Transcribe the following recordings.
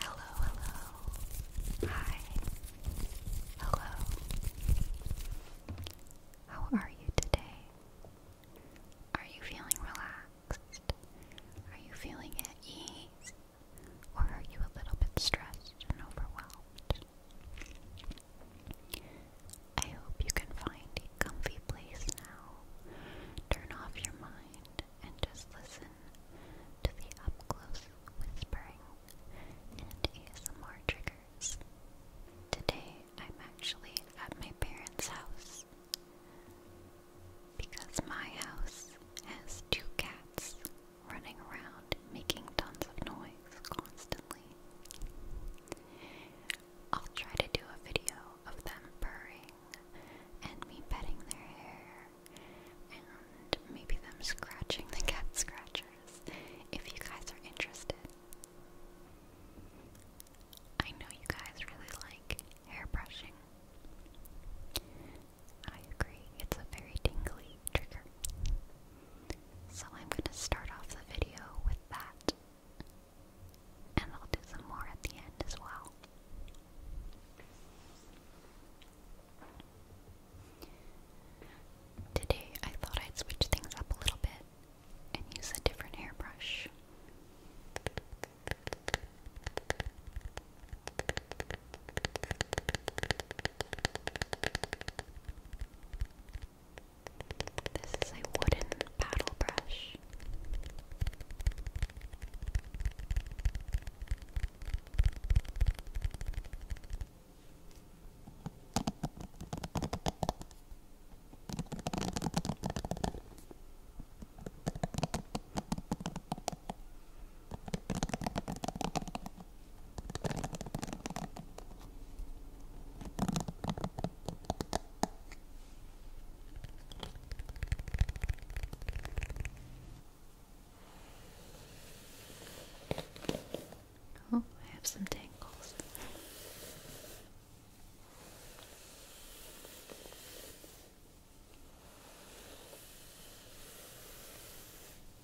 Hello, hello. Hi. Hello. How are you today? Are you feeling relaxed? Are you feeling at ease? Or are you a little bit stressed and overwhelmed? I hope you can find a comfy place now. Turn off your mind and just listen to the up close whispering and ASMR triggers. Today I'm actually at my parents' house because my house has two cats running around making tons of noise constantly. I'll try to do a video of them purring and me petting their hair and maybe them scratching the cat scratchers if you guys are interested. I know you guys really like hair brushing. I agree, it's a very tingly trigger. So I'm going to start off the video with that. And I'll do some more at the end as well. Today I thought I'd switch things up a little bit and use a different hairbrush. This is a wooden paddle brush. Oh, I have some tangles.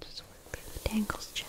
Just work through the tangles gently.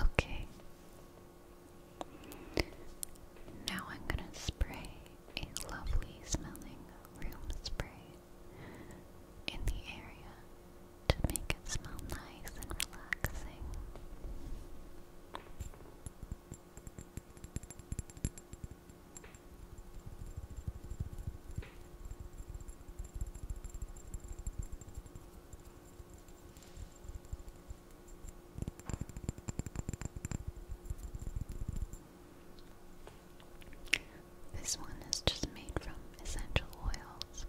Okay. Now I'm going to spray a lovely smelling room spray in the area to make it smell nice and relaxing. This one is just made from essential oils.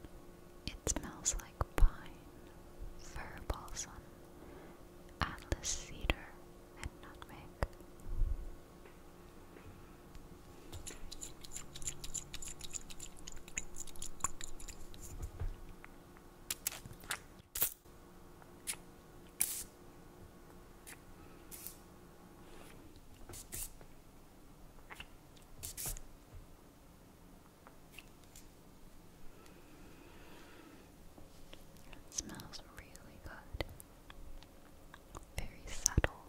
It smells like pine, fir balsam, Atlas cedar and nutmeg. It smells really good. Very subtle,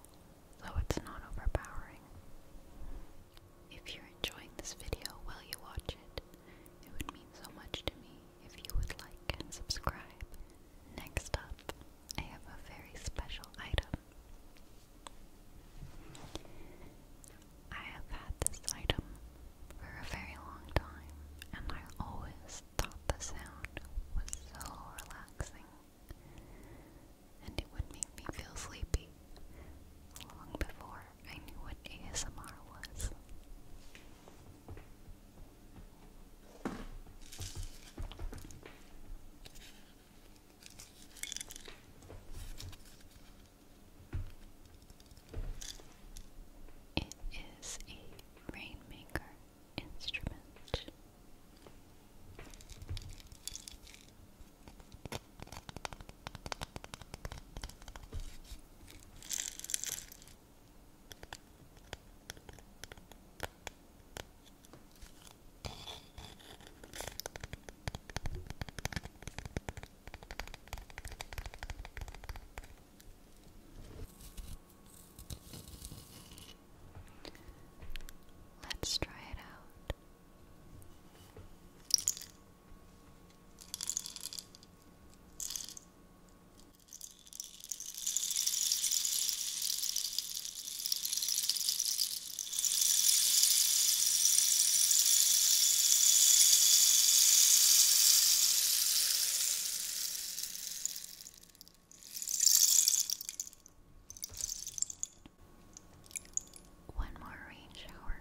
though it's not overpowering. If you're enjoying this video while you watch it, it would mean so much to me if you would like and subscribe. Next up, I have a very special item. I have had this item for a very long time, and I always thought the sound was so relaxing, and it would make me feel sleepy long before I knew what ASMR was. It is a rainmaker instrument. Let's try it out. One more rain shower.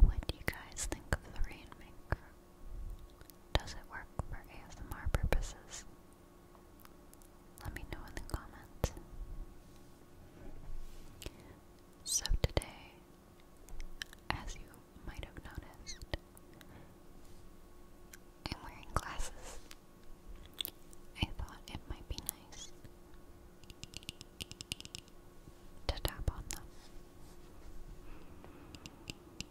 What do you guys think of the Rainmaker? Does it work for ASMR purposes? Let me know in the comments. So, today, as you might have noticed, I'm wearing glasses. I thought it might be nice to tap on them.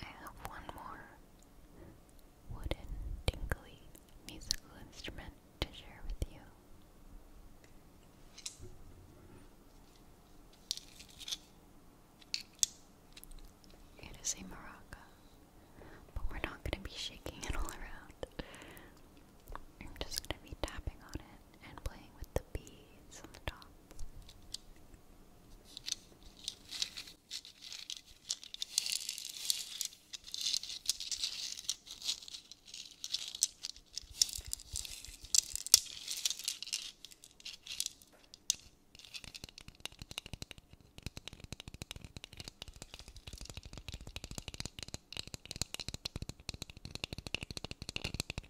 I have one more wooden, tinkly musical instrument to share with you. It is a maraca, but we're not going to be shaking it all around. I'm just going to be tapping on it and playing with the beads on the top.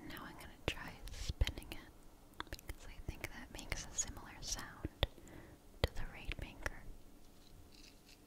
Now I'm going to try spinning it because I think that makes a similar sound to the rainmaker.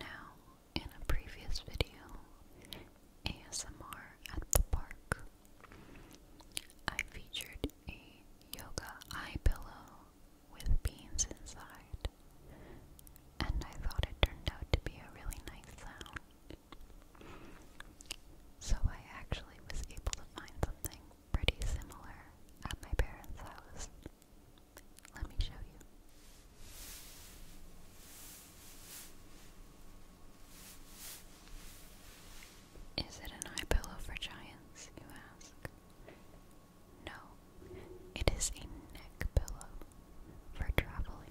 Now, in a previous video, ASMR at the Park, I featured a yoga eye pillow with beans inside, and I thought it turned out to be a really nice sound. So I actually was able to find something pretty similar at my parents' house. Let me show you. Is it an eye pillow for giants, you ask? No, it is a neck pillow for traveling.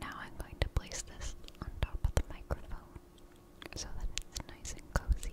Now I'm going to place this on top of the microphone so that it's nice and cozy.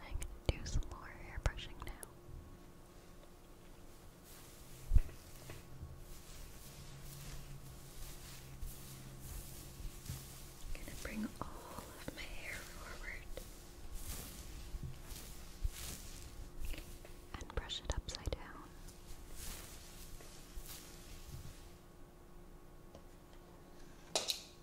I'm going to do some more hair brushing now. going to bring all of my hair forward and brush it upside down.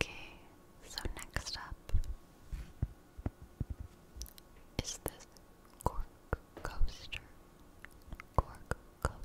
Okay, so next up is this cork coaster. Cork coaster.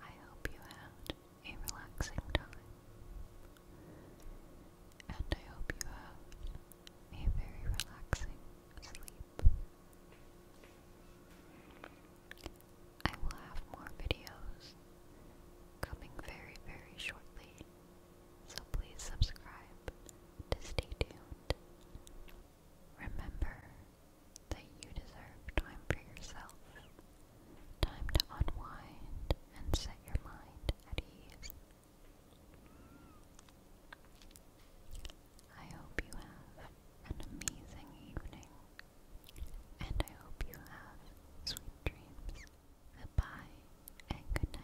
I hope you had a relaxing time, and I hope you have a very relaxing sleep. I will have more videos coming very, very shortly, so please subscribe to stay tuned. Remember that you deserve time for yourself, time to unwind and set your mind at ease. I hope you have an amazing evening, and I hope you have sweet dreams. Goodbye and good